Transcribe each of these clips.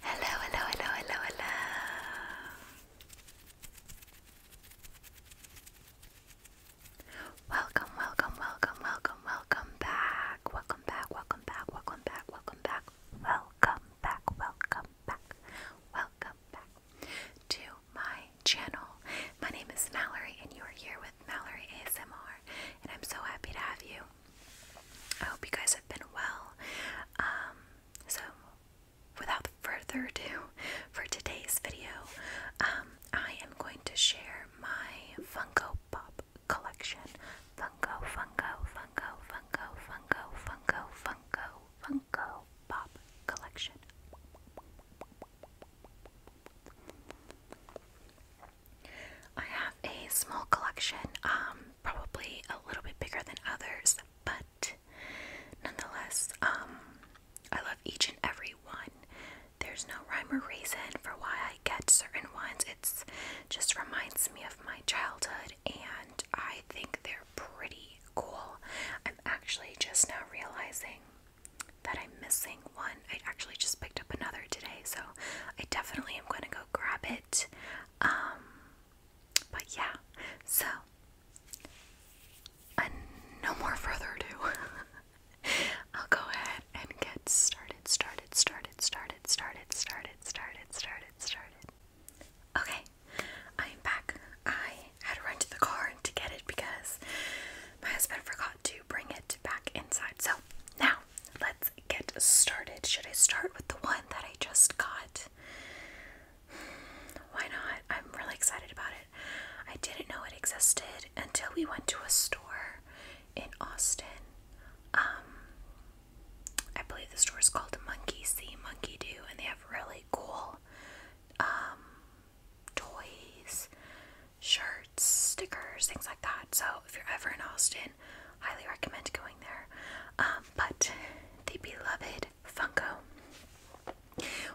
Hello, hello, hello, hello, hello. Welcome, welcome, welcome, welcome, welcome back. Welcome back, welcome back, welcome back, welcome back, welcome back, welcome back, welcome back to my channel. My name is Mallory, and you are here with Mallory ASMR, and I'm so happy to have you. I hope you guys have been well. Um, so, without further ado, for today's video, um, I am going to share my Funko Pop collection. Funko, Funko, Funko, Funko, Funko, Funko, Funko, Funko Pop collection. I have a small collection, um, probably a little bit bigger than others, but nonetheless, um, I love each and every one. There's no rhyme or reason for why I get certain ones. It just reminds me of my childhood, and I think they're pretty cool. I'm actually just now realizing that I'm missing one. I actually just picked up another today, so I definitely am going to go grab it. Um, but yeah, so and uh, no more further ado. I'll go ahead and get started, started, started, started, started, started, started, started, started. Okay, I'm back. I had rented the car to get it because my husband forgot to bring it back inside. So now let's get started. Should I start with the one that I just got? Why not? I'm really excited about it. I didn't know it existed until we went to a store in Austin. Um, I believe the store is called Monkey See, Monkey Do, and they have really cool um, toys, shirts, stickers, things like that. So if you're ever in Austin London. Highly recommend going there. Um, but the beloved Funko.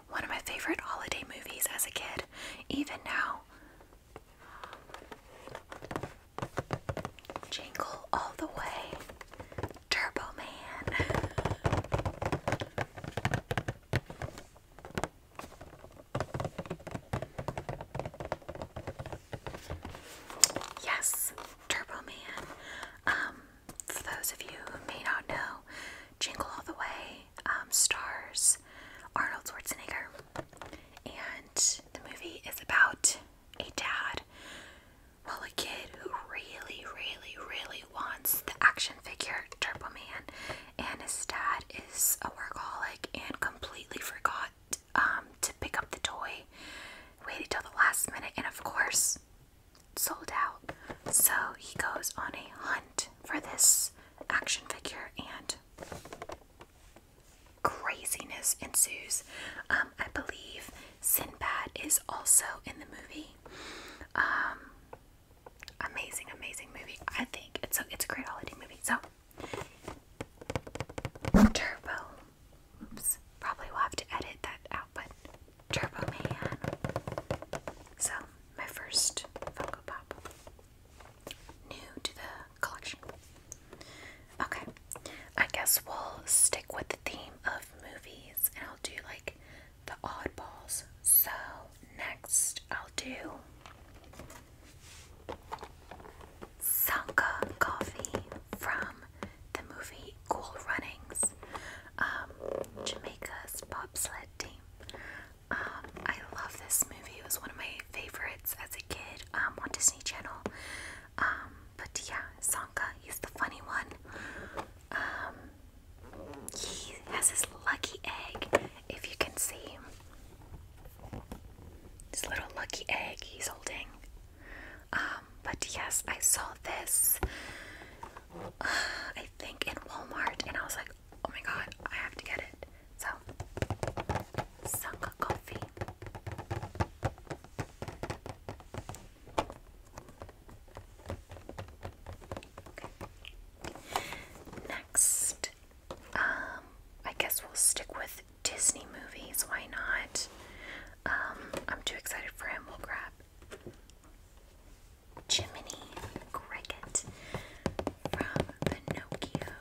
One of my favorite holiday movies as a kid, even now. Jingle all the way. Turbo Man. Yes, Turbo Man. Um, for those of you who may not know, Jingle All the Way um, stars Arnold Schwarzenegger, and the movie is about a dad, well, a kid who really, really, really wants the action figure Turbo Man, and his dad is a workaholic and completely forgot um, to pick up the toy, waited till the last minute, and of course, sold out. So he goes on a hunt for this action figure, and craziness ensues. Um, I believe Sinbad is also in the movie. Um, amazing, amazing movie. I think it's a it's a great holiday movie. So Turbo. Oops. Probably will have to edit that out, but Turbo Man. So, my first Funko Pop. New to the collection. Okay. I guess we'll stick with the theme of movies and I'll do like the oddballs. So, next I'll do Sanka coffee from the movie Cool Runnings, um, Jamaica's bobsled team. Um, I love this movie. It was one of my favorites as a kid um, on Disney Channel. but yeah, Sanka, he's the funny one. he has his lucky egg, if you can see. This little lucky egg he's holding. Um, but yes, I saw this. Uh, I think in Walmart, and I was like, oh my god, I have to get it. So, Sangha Coffee. Next, um, I guess we'll stick with Disney movies. Why not? Um, I'm too excited for him. We'll grab Jiminy Cricket from Pinocchio.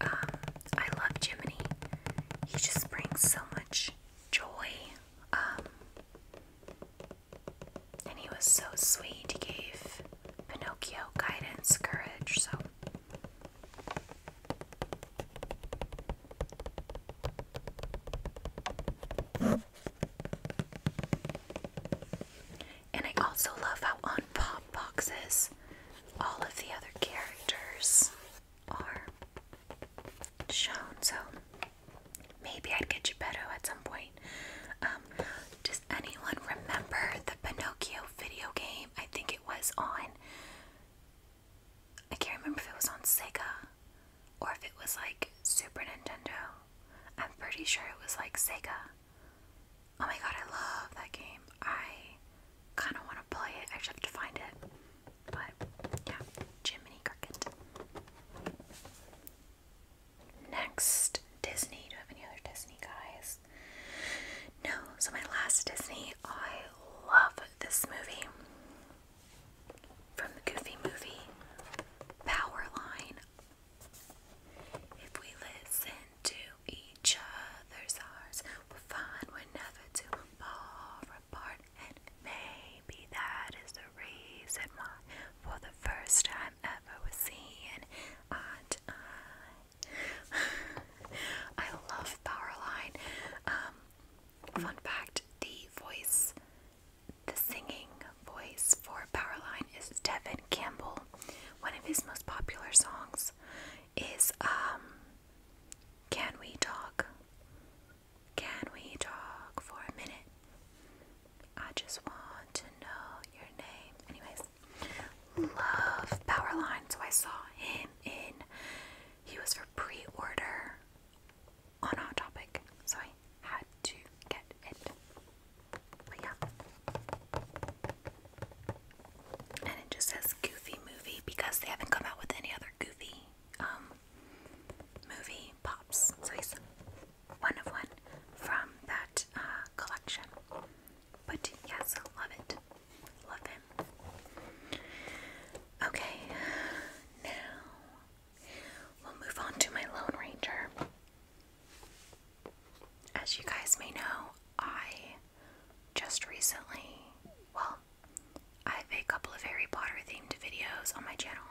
Um, I love Jiminy. He just brings so much joy. Um, and he was so sweet. He gave Pinocchio guidance, courage. So and I also love how on pop boxes all of the other characters are shown. So maybe I'd get you better at some point. Um, does anyone remember the Pinocchio video game? I think it was on I can't remember if it was on Sega or if it was like Super Nintendo. I'm pretty sure it was like Sega. Oh my god, I love that game. I kind of want to play it. I just have to find it. But yeah, Jiminy Cricket. Next, Disney. Do I have any other Disney guys? No. So my last Disney, I love this movie from the Goofy movie Powerline. If we listen to each other's hearts, we'll find we never too far apart, and maybe that is the reason why, for the first time ever, we're seeing I love Powerline. Um, fun fact the voice, the singing voice for Powerline is Devin Campbell. One of his most popular songs is um, Can We Talk? Can we talk for a minute? I just want to know your name. Anyways, love Powerline. So I saw him in he was for pre order on Hot Topic, so I had to get it. But yeah. And it just says Goofy Movie because they haven't come out with any other Goofy um, movie pops. So he's one of one from that uh, collection. But yes, I love it. Love him. Okay, now we'll move on to my Lone Ranger. As you guys may know, I just recently, well, I have a couple of Harry Potter themed videos on my channel.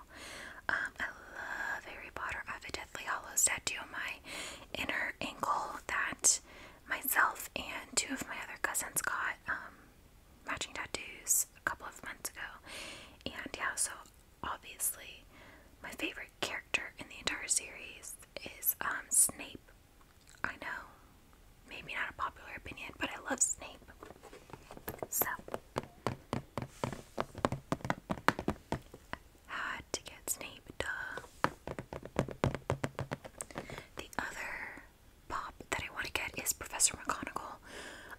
Um, I love Harry Potter. I have a Deathly Hollows statue on my inner ankle that myself and two of my other cousins got um, matching tattoos a couple of months ago. And yeah, so obviously, my favorite character in the entire series is um, Snape. I know, maybe not a popular opinion, but I love Snape. So, had to get Snape, duh. The other pop that I want to get is Professor McGonagall.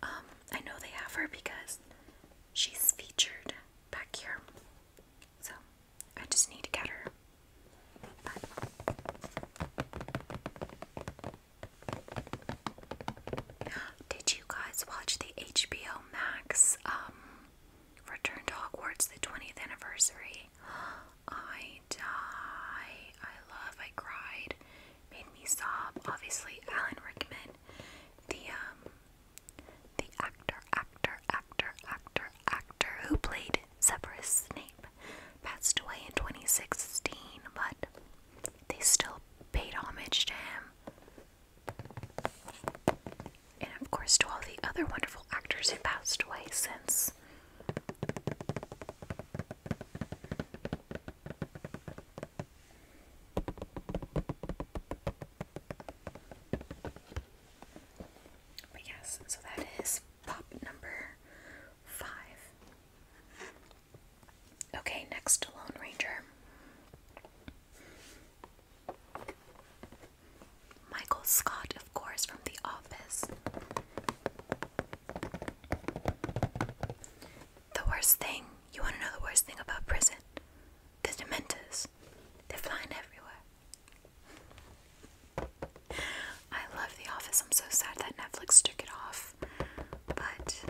Um, I know they have her because she's featured back here. So I just need to get her. did you guys watch the HBO Max um, Return to Hogwarts, the 20th anniversary? I die. I love. I cried. Made me sob. Obviously, Alan Rickman, the um, the actor, actor, actor, actor, actor who played Severus Snape, passed away in 2016. But they still paid homage to him, and of course to all the other wonderful actors who passed away since. But yes, so that is pop number five. Okay, next Lone Ranger. Michael Scott, of course, from The Office. The worst thing, you want to know the worst thing about prison? The Dementors. They're flying everywhere. I love The Office. I'm so sad that Netflix took it off. But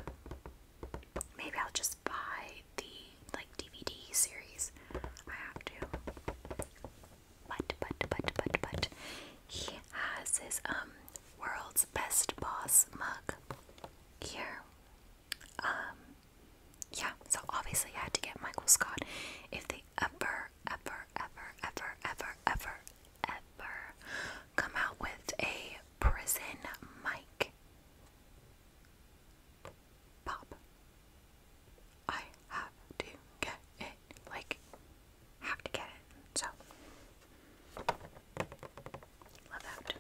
maybe I'll just buy the like DVD series. I have to but but but but but he has his um world's best boss mug here. Um yeah, so obviously I had to get Michael Scott if they ever, ever, ever, ever, ever, ever, ever come out with a prison mic. Pop. I have to get it. Like, have to get it. So, love that.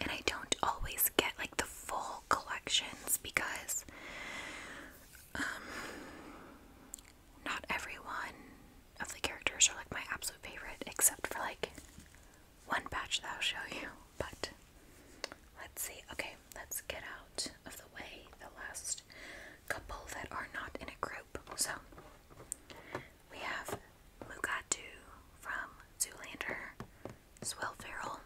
And I don't always get like the full collections because um, not everyone of the characters are like my absolute favorite, except for like one batch that I'll show you. But let's see. Okay, let's get out of the way the last couple that are not in a group. So we have Mugatu from Zoolander, Swell Ferrell.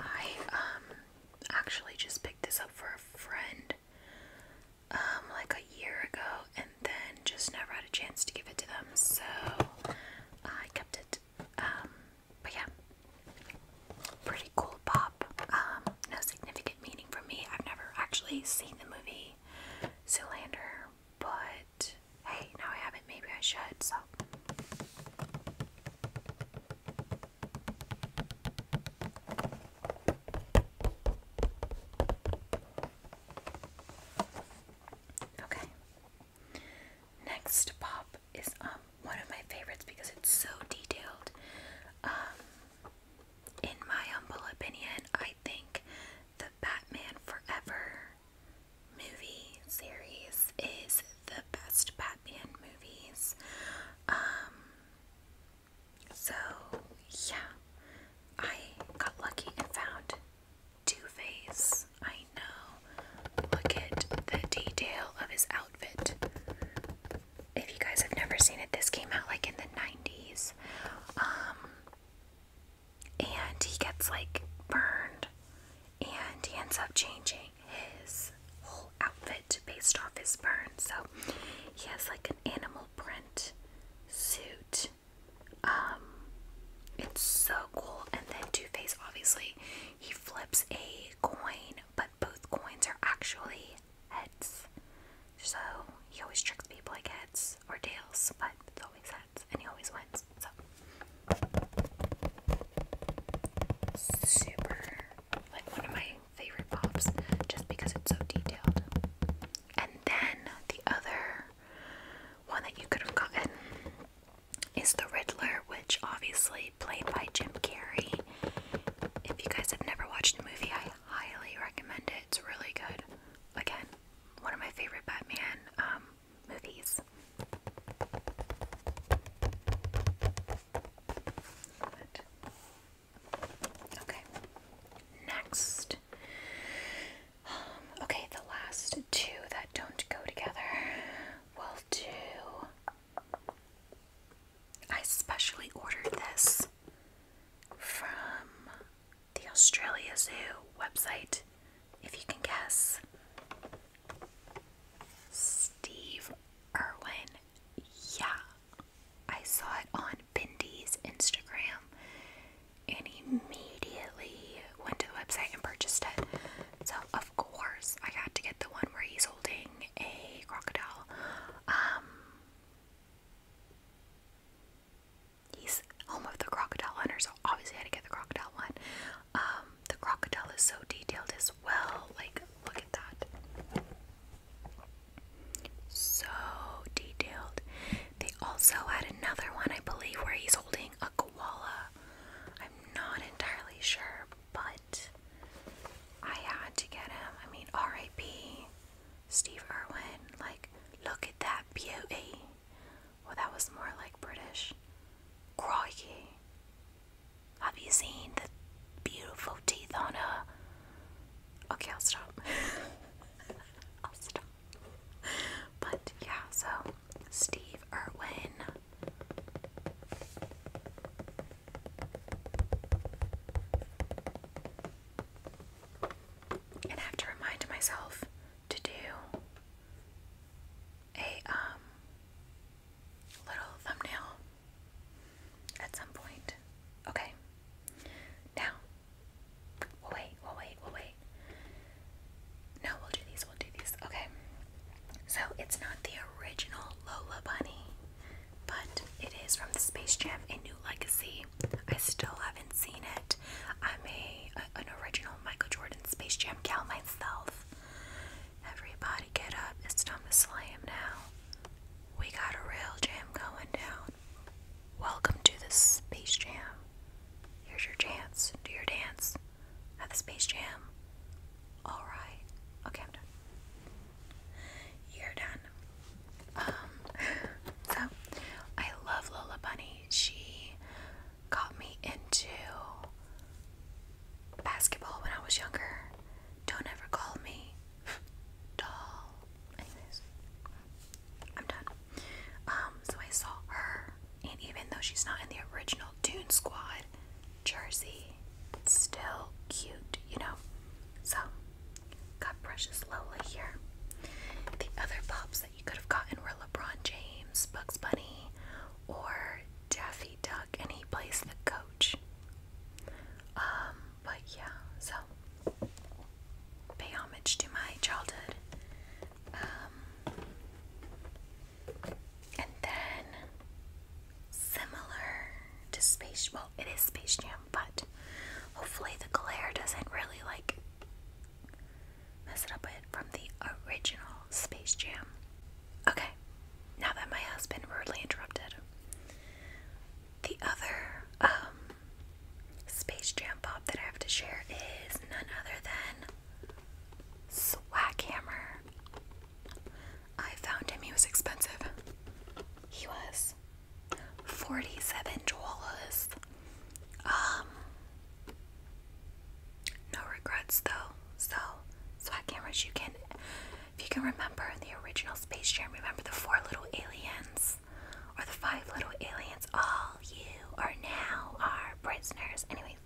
I um actually just picked this up for a friend um like a year ago and then just never had a chance to give it to them, so I kept it. Um, but yeah, pretty cool pop. Um, no significant meaning for me. I've never actually seen the movie Zoolander, but hey, now I have it. Maybe I should. So. Okay. Next pop is um one of my favorites because it's so detailed. Um, in my humble opinion, I think the Batman Forever movie series is the best Batman movies. Um so yeah, I got lucky and found too Faced. I know. Look at the detail of his outfit. If you guys have never seen it, this came out like in the 90s. Um, and he gets like burned, and he ends up changing his whole outfit based off his burn. So he has like an animal print suit um, it's so cool. And then Two Face, obviously, he flips a coin, but both coins are actually heads. So he always tricks people like heads or tails, but it's always heads, and he always wins. So super, like one of my favorite pops, just because it's so detailed. And then the other one that you could have gotten is The Riddler, which obviously played by Jim Carrey. If you guys have never watched the movie, I highly recommend it. It's really good. Again, one of my favorite Batman um, movies. okay, next okay, the last two that don't go together will do. I specially ordered this from the Australia Zoo website, if you can guess. Steve Irwin. Yeah. I saw it on Bindi's Instagram and immediately went to the website and purchased it. So, of course, I got to get the one where he's holding a crocodile. Um, he's home of the crocodile hunter, so obviously I had to get the crocodile one. Um, the crocodile is so detailed as well. Like, look at that. So detailed. They also had another one, I believe, where he's holding a koala. I'm not entirely sure, but I had to get him. I mean, R.I.P. Steve Irwin. Like, look at that beauty. Well, that was more like British. Crikey. Have you seen the beautiful teeth on her? Okay, I'll stop. I'll stop. but yeah, so Steve Irwin. And I have to remind myself to do a um little thumbnail at some point. Okay. Now We'll wait, we'll wait, we'll wait. No, we'll do these, we'll do these. Okay. So it's not the original Lola Bunny, but it is from the Space Jam A New Legacy. I still haven't seen it. I'm a, an original Michael Jordan Space Jam gal myself. Everybody get up. It's time to slam now. We got a real jam going down. Welcome to the Space Jam. Here's your chance. Do your dance at the Space Jam. Alright. Okay, I'm done. You're done. Um, so, I love Lola Bunny. She got me into basketball when I was younger. Don't ever call me doll. I'm done. Um, so I saw her, and even though she's not in the original Dune Squad jersey, it's still cute, you know? So, got Precious Lola here. The other pops that you could have gotten were LeBron James, Bugs Bunny, or Daffy Duck, and he plays the coach. Um, but yeah, so pay homage to my childhood um, and then, similar to Space well, it is Space Jam, but hopefully the glare doesn't really like mess it up from the original Space Jam. Okay, now that my husband rudely interrupted, the other um, Space Jam pop that I have to share is none other than Swaghammer. I found him, he was expensive. He was 47 dollars. Um, no regrets though. So, swag cameras, you can, if you can remember the original Space Jam, remember the four little aliens? or the five little aliens. All you are now are prisoners. Anyway,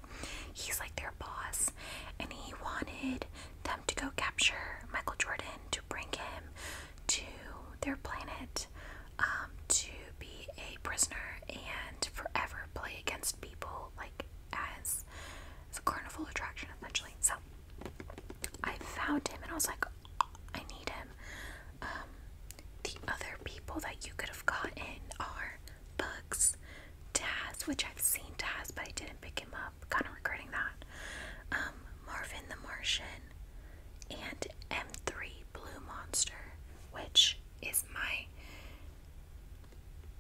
he's like their boss and he wanted them to go capture Michael Jordan to bring him to their planet um, to be a prisoner and forever play against people like as, as a carnival attraction essentially. So I found him and I was like, I need him. Um, the other people that you could have gotten are Bugs, Taz, which I've seen Taz, but I didn't pick him up. Kind of regretting that. Um, Marvin the Martian and M3 Blue Monster, which is my.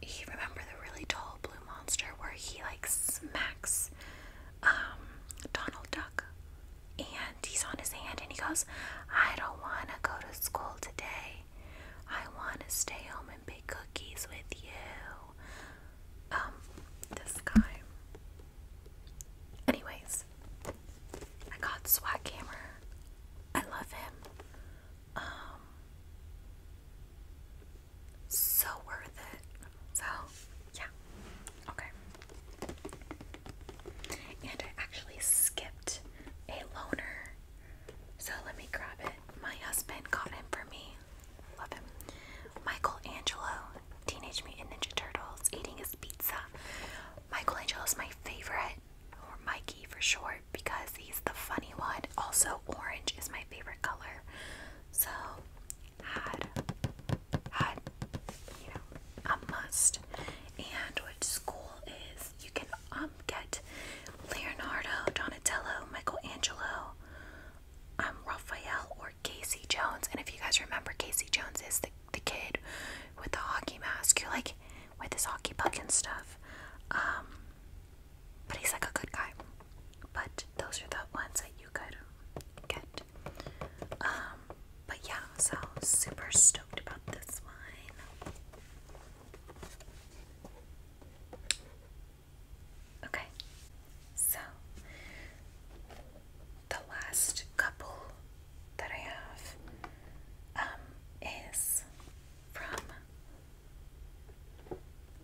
You remember the really tall blue monster where he like smacks um, Donald Duck and hand, on his hand, and he goes, I don't want to go to school today. I want to stay home and bake cookies with you. Um, this guy. Anyways, I got swag camera. I love him. Um, so worth it. So, yeah. Okay. And I actually skipped a loner, So let me grab it. My husband got him for me. Love him. Michelangelo, Teenage Mutant Ninja Turtles, eating his pizza. Michelangelo is my favorite, or Mikey for short, because he's the funny one. Also, orange is my favorite color. So, had, had, you know, a must. And which school is you can um get Leonardo, Donatello, Michaelangelo, um Raphael, or Casey Jones. And if you guys remember, Casey Jones is the the kid with the hockey mask who like with his hockey puck and stuff. Um but he's like a good guy. But those are the ones that you could get. Um but yeah, so super stoked about this one. Okay, so the last couple that I have um, is from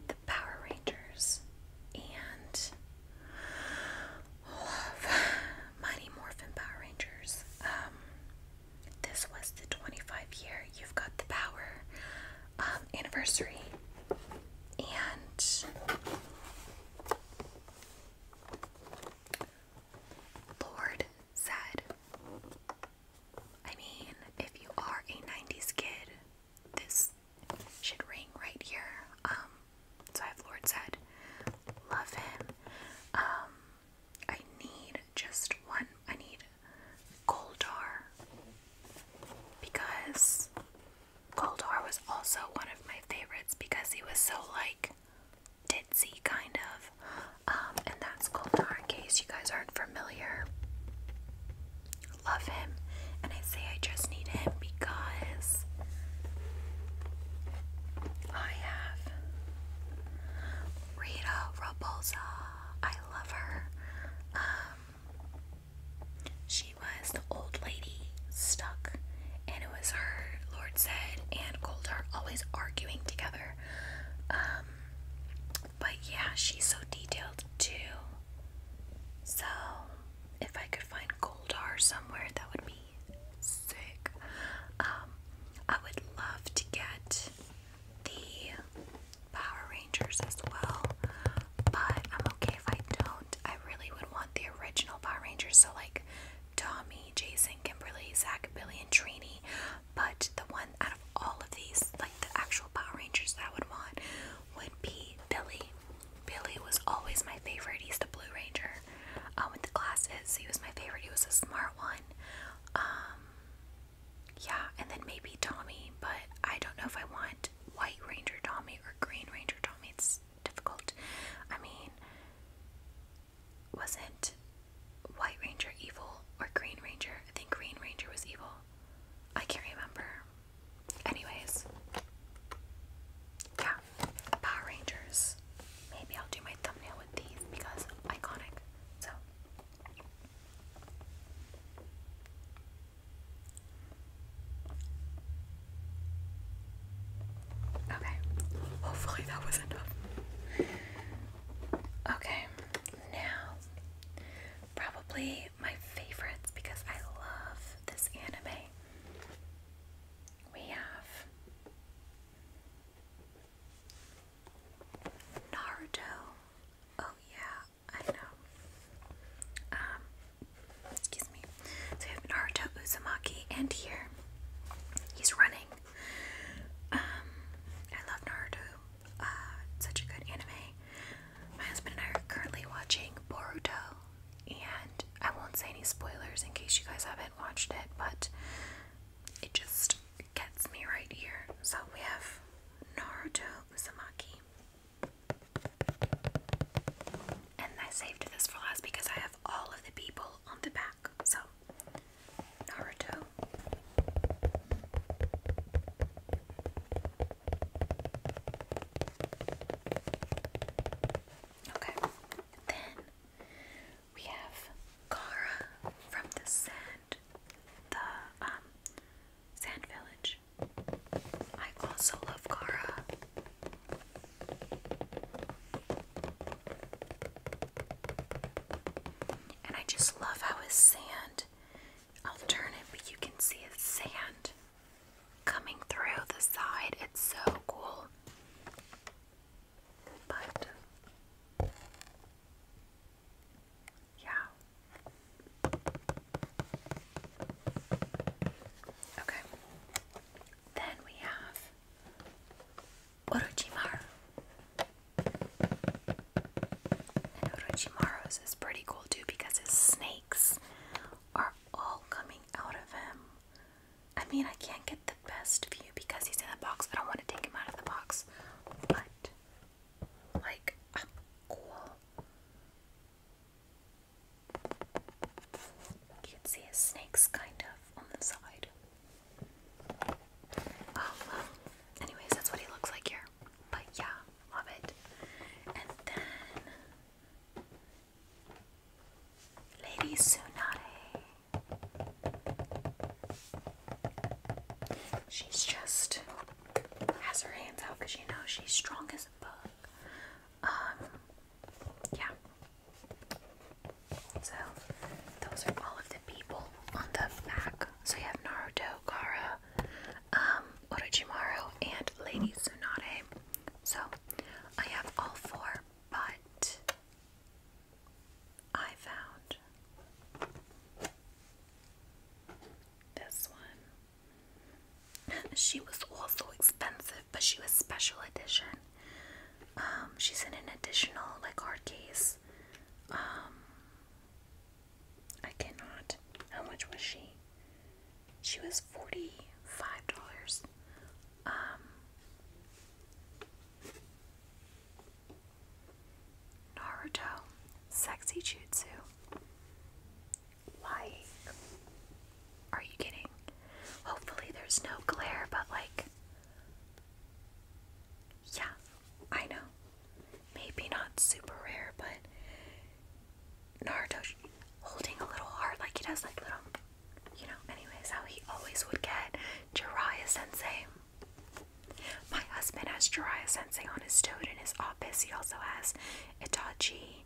the Power Rangers and love Mighty Morphin Power Rangers. Um, this was the 25 year You've Got the Power um, anniversary, and Lord said, I mean, if you are a 90s kid, this should ring right here. Um, so I have Lord said, Love him. Um, I need just one. I need Goldar. Because Goldar was also one of my favorites because he was so like ditzy kind of. Um, and that's Goldar in case you guys aren't familiar. Love him. And I say I just need him because I have Rita Repulsa. I love her. Um, she was the old lady stuck, and it was her, Lord said, and Goldar always arguing together. Um, but yeah, she's so detailed too. So, if I could find Goldar somewhere, that would be sick. Um, I would love to get the Power Rangers as well, but I'm okay if I don't. I really would want the original Power Rangers, so like Tommy, Jason, Kimberly, Zach, Billy, and Trini. But the one out of all of these, like the actual Power Rangers that would want, would be Billy. Billy was always my favorite. He's the Blue Ranger. Uh, with the glasses. He was my favorite. He was a smart one. Um, yeah, and then maybe Tommy, but I don't know if I want White Ranger Tommy or Green Ranger Tommy. It's difficult. I mean, wasn't White Ranger evil or Green Ranger? I think Green Ranger was evil. I can't remember. Anyways, yeah, Power Rangers. Maybe I'll do my thumbnail with these because iconic. So Okay. Hopefully that was enough. Okay, now probably my favorites because I love this anime. We have Naruto. Oh yeah, I know. Um, excuse me. So we have Naruto Uzumaki, and here he's running. Um, I love Naruto. Uh, such a good anime. My husband and I are currently watching Boruto, and I won't say any spoilers in case you guys haven't watched it, but it just gets me right here. So we have Naruto Uzumaki. And I saved this for last because I have all of the people on the back. So Naruto. Okay. We have Kara from the sand, the um, sand village. I also love Kara. And I just love how his sand, I'll turn it, but you can see his sand coming through the side. It's so cool. But yeah. Okay. Then we have Orochimaru. Orochimaru's is pretty cool too because his snakes are all coming out of him. I mean, I can't get the best view because he's in the box. I don't want to take him out of the box. But, like, cool. You can see his snakes kind of on the side. Oh, Anyways, that's what he looks like here. But yeah, love it. And then. Lady Tsunade. She's just has her hands out because you know she's strong as a bug. Um, yeah. So those are all of the people on the back. So you have Naruto, Kara, um, Orochimaru, and Lady Tsunade. So I have all four, but I found this one. she was also expensive, but she was special edition. Um, she's in an additional like hard case. Um, I cannot. How much was she? She was forty-five dollars. Um, Naruto, sexy jutsu. Like, are you kidding? Hopefully, there's no glare, but like, yeah, I know. Maybe not super rare, but Naruto holding a little heart like he does, like little you know, anyways, how he always would get Jiraiya Sensei. My husband has Jiraiya Sensei on his toad in his office. He also has Itachi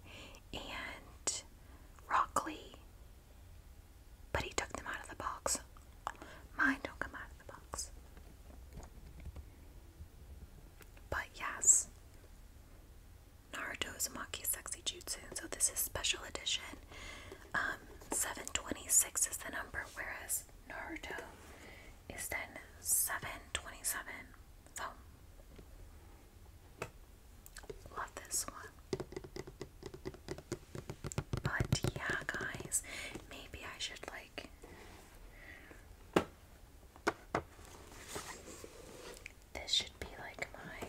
and Rockley. But he took them out of the box. Mine don't come out of the box. But yes, Naruto Uzumaki Sexy Jutsu. So this is special edition. Um, 726 is the number, whereas Naruto is then 727. So, love this one. But yeah, guys, maybe I should like. This should be like my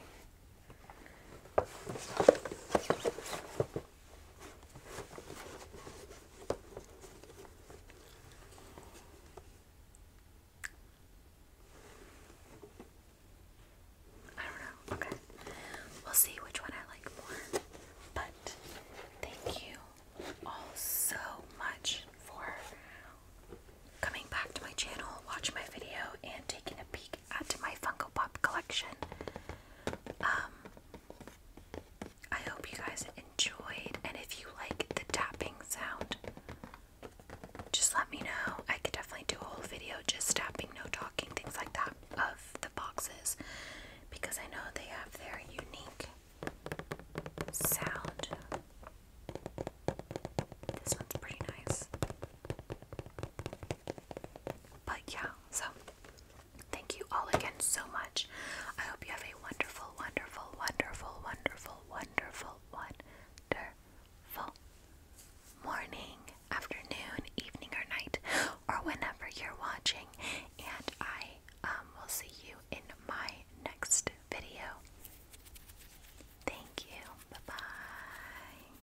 I don't know. Okay. We'll see which one I like more. But thank you all so much for coming back to my channel, watching my video, and taking a peek add to my Funko Pop collection. Um, I hope you guys enjoyed, and if you like the tapping sound, just let me know. I could definitely do a whole video just tapping, no talking, things like that of the boxes because I know they have their unique sound. This one's pretty nice. But yeah, so thank you all again so much. I hope you have a wonderful, wonderful, wonderful, wonderful, wonderful, wonderful morning, afternoon, evening, or night, or whenever you're watching. And I um, will see you in my next video. Thank you. Bye bye.